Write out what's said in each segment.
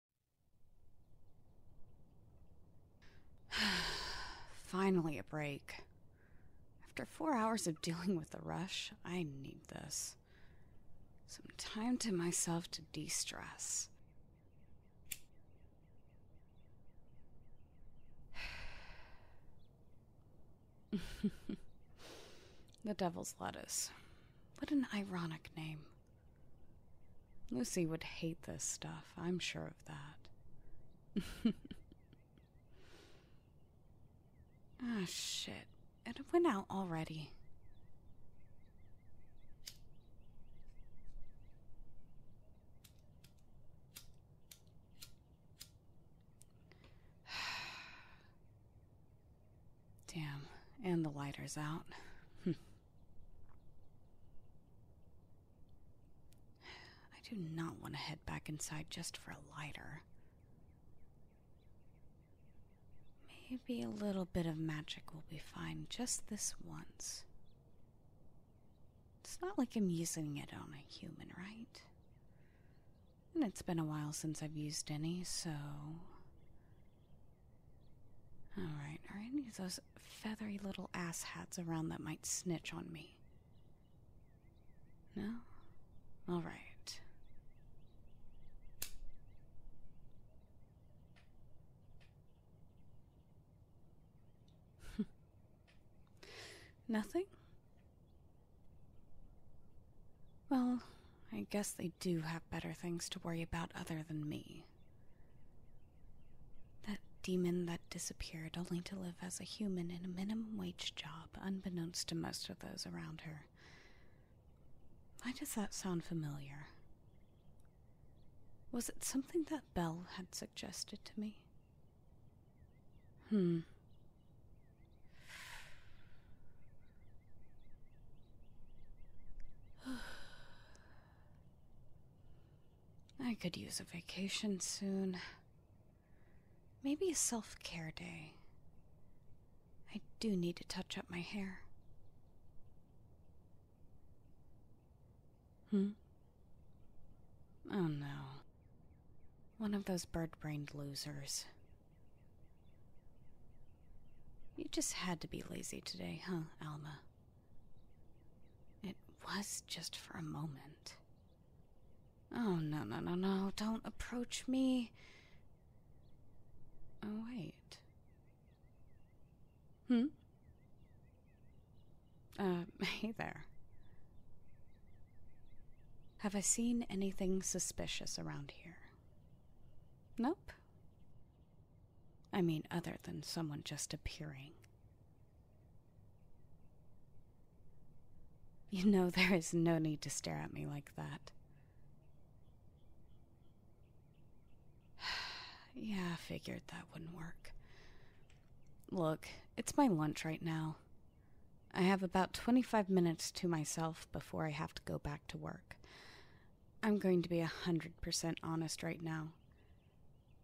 Finally, a break. After four hours of dealing with the rush, I need this. Some time to myself to de stress. the Devil's Lettuce. What an ironic name. Lucy would hate this stuff, I'm sure of that. ah, shit. It went out already. Damn, and the lighter's out. I do not want to head back inside just for a lighter. Maybe a little bit of magic will be fine just this once. It's not like I'm using it on a human, right? And it's been a while since I've used any, so. Alright, are any of those feathery little ass hats around that might snitch on me? No? Alright. Nothing? Well, I guess they do have better things to worry about other than me. That demon that disappeared only to live as a human in a minimum wage job, unbeknownst to most of those around her. Why does that sound familiar? Was it something that Bell had suggested to me? Hmm. I could use a vacation soon. Maybe a self care day. I do need to touch up my hair. Hmm? Oh no. One of those bird brained losers. You just had to be lazy today, huh, Alma? It was just for a moment. Oh, no, no, no, no. Don't approach me. Oh, wait. Hmm? Uh, hey there. Have I seen anything suspicious around here? Nope. I mean, other than someone just appearing. You know, there is no need to stare at me like that. yeah, I figured that wouldn't work. Look, it's my lunch right now. I have about 25 minutes to myself before I have to go back to work. I'm going to be a 100% honest right now.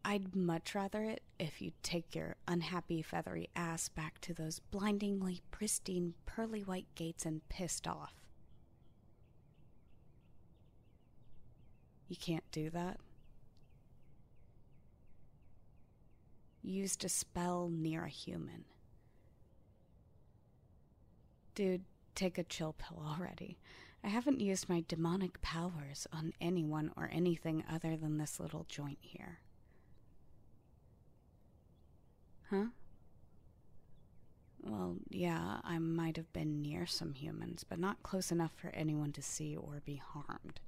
I'd much rather it if you'd take your unhappy, feathery ass back to those blindingly pristine, pearly white gates and pissed off. You can't do that. Used a spell near a human. Dude, take a chill pill already. I haven't used my demonic powers on anyone or anything other than this little joint here. Huh? Well, yeah, I might have been near some humans, but not close enough for anyone to see or be harmed.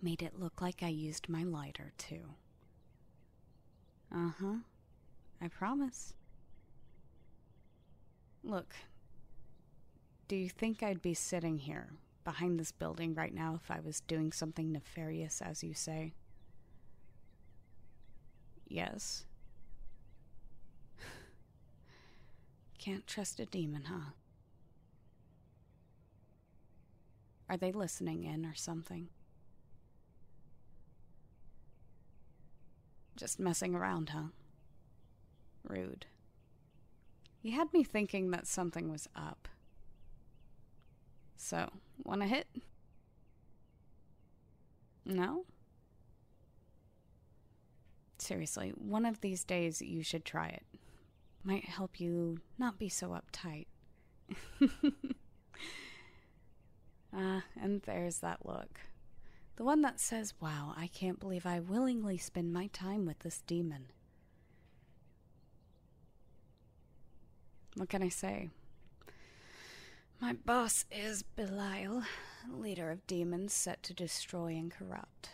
Made it look like I used my lighter, too. Uh huh. I promise. Look, do you think I'd be sitting here, behind this building right now, if I was doing something nefarious, as you say? Yes. Can't trust a demon, huh? Are they listening in or something? Just messing around, huh? Rude. You had me thinking that something was up. So, wanna hit? No? Seriously, one of these days you should try it. Might help you not be so uptight. Ah, and there's that look. The one that says, Wow, I can't believe I willingly spend my time with this demon. What can I say? My boss is Belial, leader of demons set to destroy and corrupt.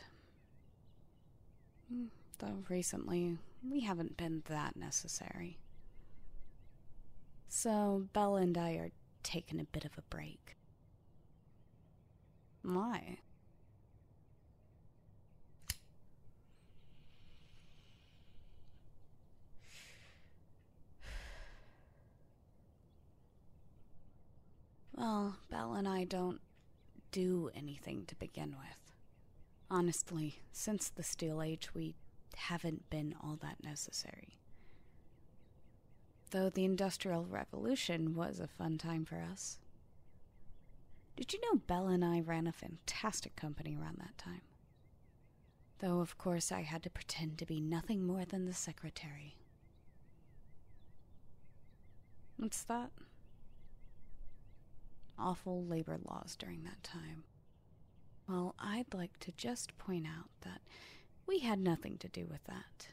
Hmm, though recently, we haven't been that necessary. So, Bella and I are taking a bit of a break. My. Well, Belle and I don't do anything to begin with. Honestly, since the Steel Age, we haven't been all that necessary. Though the Industrial Revolution was a fun time for us. Did you know Belle and I ran a fantastic company around that time? Though, of course, I had to pretend to be nothing more than the secretary. What's that? Awful labor laws during that time. Well, I'd like to just point out that we had nothing to do with that.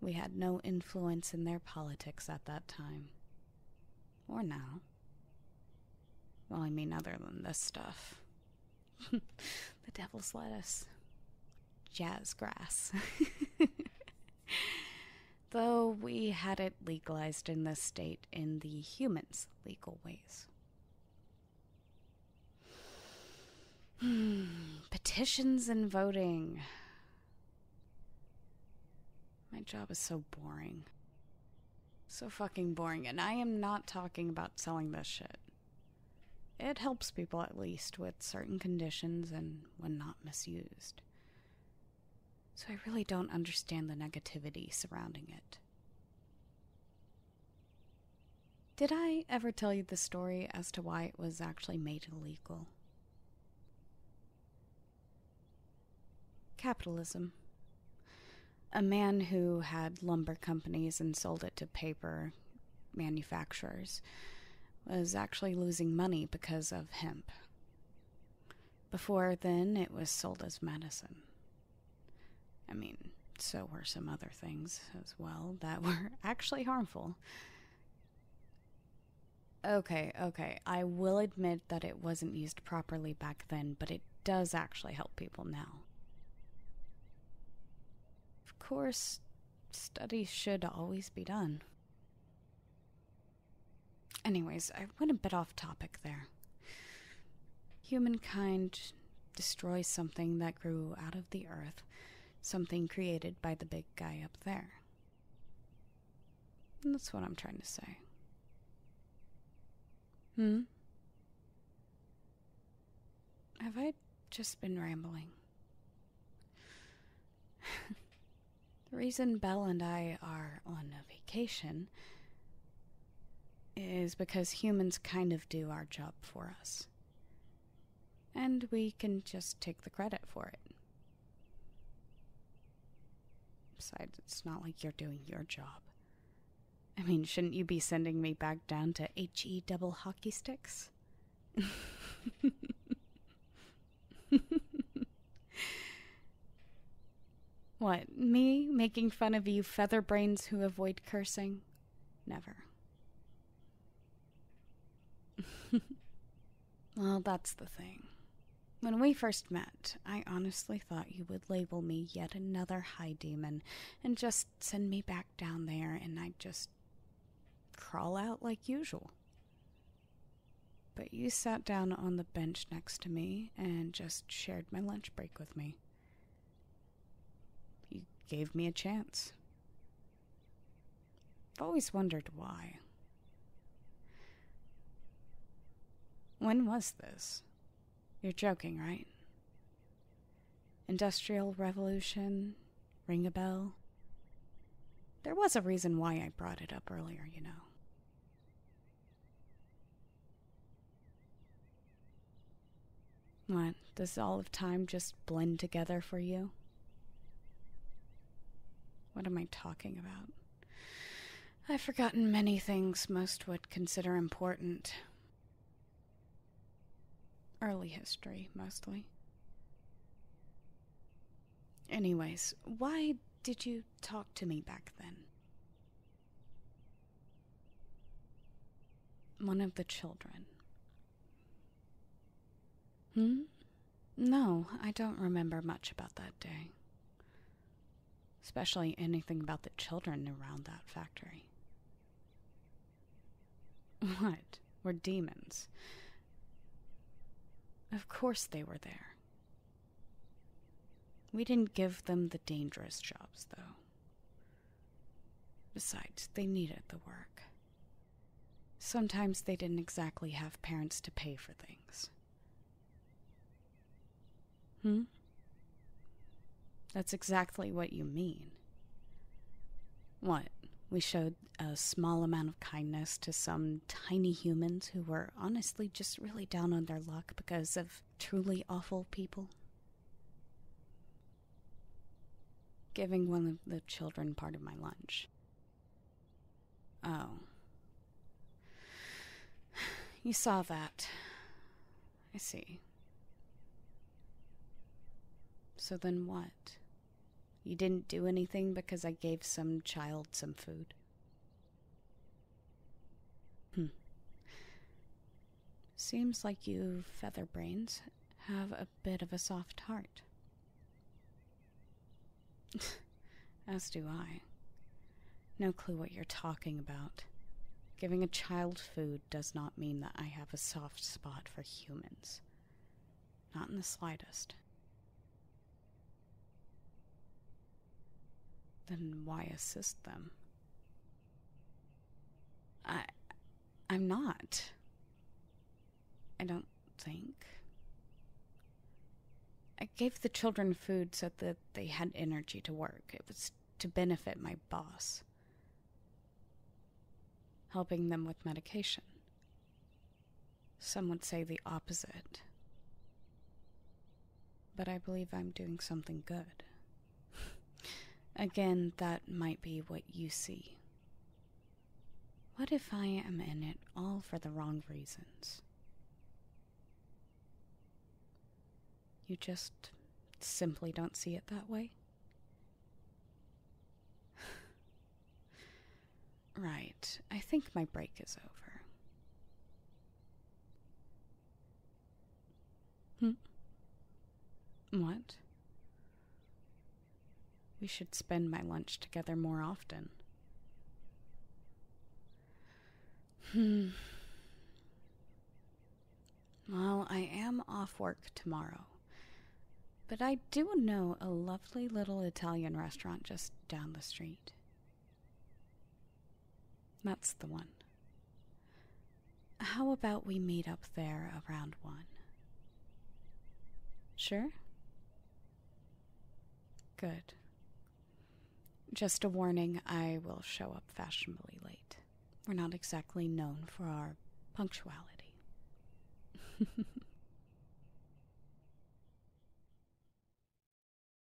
We had no influence in their politics at that time. Or now. Well, I mean, other than this stuff. the devil's lettuce. jazzgrass. Though we had it legalized in this state in the humans' legal ways. Petitions and voting. My job is so boring. So fucking boring. And I am not talking about selling this shit. It helps people at least with certain conditions and when not misused. So I really don't understand the negativity surrounding it. Did I ever tell you the story as to why it was actually made illegal? Capitalism. A man who had lumber companies and sold it to paper manufacturers was actually losing money because of hemp. Before then, it was sold as medicine. I mean, so were some other things as well that were actually harmful. Okay, okay, I will admit that it wasn't used properly back then, but it does actually help people now. Of course, studies should always be done. Anyways, I went a bit off topic there. Humankind destroys something that grew out of the earth, something created by the big guy up there. that's what I'm trying to say. Hmm? Have I just been rambling? the reason Belle and I are on a vacation is because humans kind of do our job for us. And we can just take the credit for it. Besides, it's not like you're doing your job. I mean, shouldn't you be sending me back down to HE double hockey sticks? What, me making fun of you featherbrains who avoid cursing? Never. well, that's the thing. When we first met, I honestly thought you would label me yet another high demon and just send me back down there and I'd just crawl out like usual. But you sat down on the bench next to me and just shared my lunch break with me. He gave me a chance. I've always wondered why. When was this? You're joking, right? Industrial Revolution? Ring a bell? There was a reason why I brought it up earlier, you know. What, does all of time just blend together for you? What am I talking about? I've forgotten many things most would consider important. Early history, mostly. Anyways, why did you talk to me back then? One of the children. Hmm? No, I don't remember much about that day. Especially anything about the children around that factory. What? Were demons. Of course they were there. We didn't give them the dangerous jobs, though. Besides, they needed the work. Sometimes they didn't exactly have parents to pay for things. Hmm? That's exactly what you mean. What? We showed a small amount of kindness to some tiny humans who were honestly just really down on their luck because of truly awful people. Giving one of the children part of my lunch. Oh. You saw that. I see. So then what? You didn't do anything because I gave some child some food? Hmm. Seems like you featherbrains have a bit of a soft heart. As do I. No clue what you're talking about. Giving a child food does not mean that I have a soft spot for humans. Not in the slightest. Then why assist them? I. I'm not. I don't think. I gave the children food so that they had energy to work. It was to benefit my boss, helping them with medication. Some would say the opposite but I believe I'm doing something good. Again, that might be what you see. What if I am in it all for the wrong reasons? You just simply don't see it that way? right, I think my break is over. Hmm? What? We should spend my lunch together more often. Hmm. Well, I am off work tomorrow. But I do know a lovely little Italian restaurant just down the street. That's the one. How about we meet up there around one? Sure? Good. Just a warning, I will show up fashionably late. We're not exactly known for our punctuality.